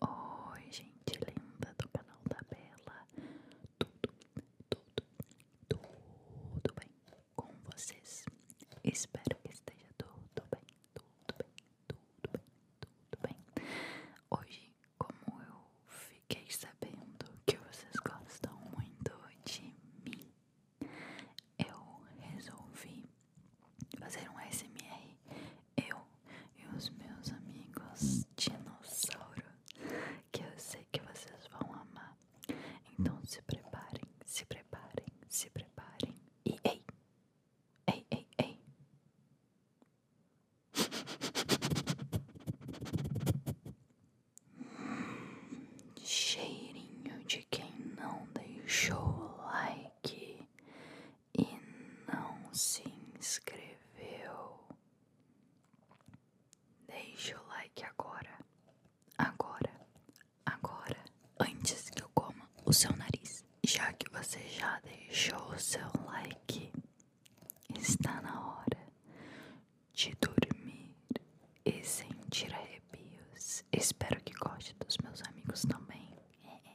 Oi, gente linda do canal da Bela, tudo, tudo, tudo bem com vocês? Espero que esteja tudo bem, tudo bem, tudo bem, tudo bem. Hoje, como eu fiquei sabendo que vocês gostam muito de mim, eu resolvi fazer um SMR eu e os meus amigos dinossauro, que eu sei que vocês vão amar. Então se preparem, se preparem, se preparem. E ei, ei, ei, Cheirinho de quem não deixou o like e não se inscreveu, deixa o like agora, agora, agora, antes que eu coma o seu nariz. Já que você já deixou o seu like, está na hora de dormir e sentir arrepios. Espero que goste dos meus amigos também. É, é.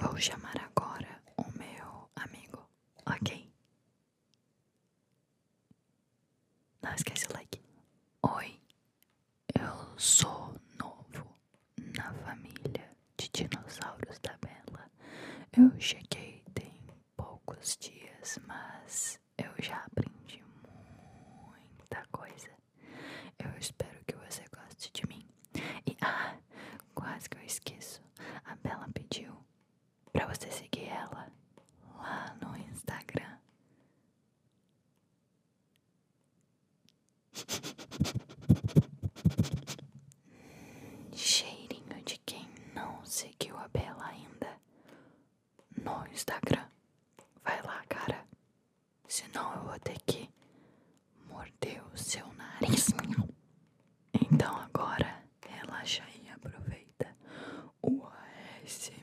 Vou chamar agora o meu amigo, ok? Não esquece o like. Oi, eu sou novo na família de dinossauros da Bela. Eu cheguei tem poucos dias, mas eu já aprendi muita coisa eu espero que você goste de mim. E ah, quase que eu esqueço. A Bela pediu para você seguir ela lá no Instagram. Cheirinho de quem não seguiu a Bela ainda no Instagram. Vai lá, cara senão eu vou ter que morder o seu nariz. Então agora relaxa e aproveita o ASMR.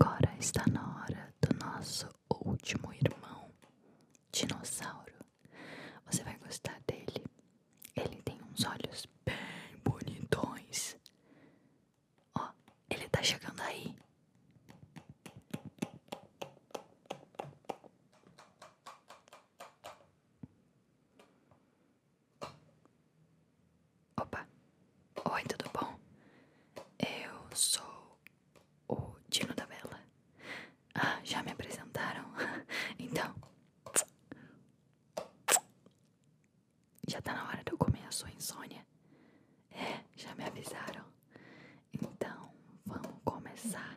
Agora está na hora do nosso último irmão, Dinossauro. Você vai gostar dele. Ele tem uns olhos bem bonitões. Ó, ele tá chegando aí. Opa, oi, tudo bom? Eu sou o Dino da Bela. Ah, já me apresentaram? Então. Já tá na hora de eu comer a sua insônia. É, já me avisaram. Então, vamos começar.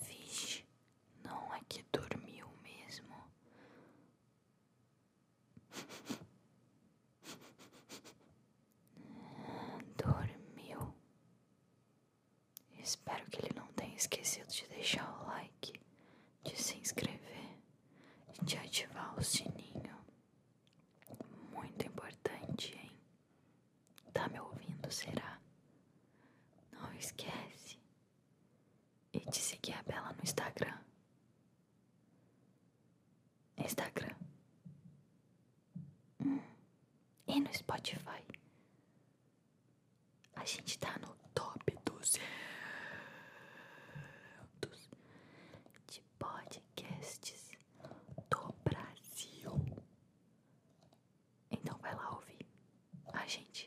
Vixe, não é que dormiu mesmo. Dormiu. Espero que ele não tenha esquecido de deixar o like, de se inscrever e de ativar o sininho. Muito importante, hein? Tá me ouvindo, será? Não esquece. E de seguir a Bela no Instagram. Instagram. Hum. E no Spotify. A gente tá no top 200 de podcasts do Brasil. Então vai lá ouvir a gente,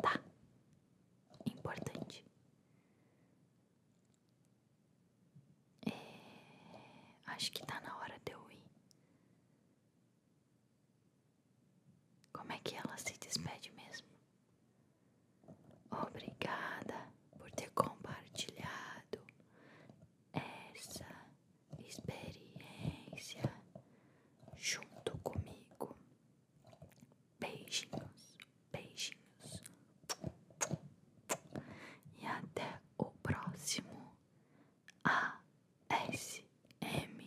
tá? Importante. É, acho que tá na hora de eu ir. Como é que ela se despede mesmo? Obrigada por ter compartilhado essa experiência junto comigo. Beijinhos, beijinhos. E até o próximo a s ASMR.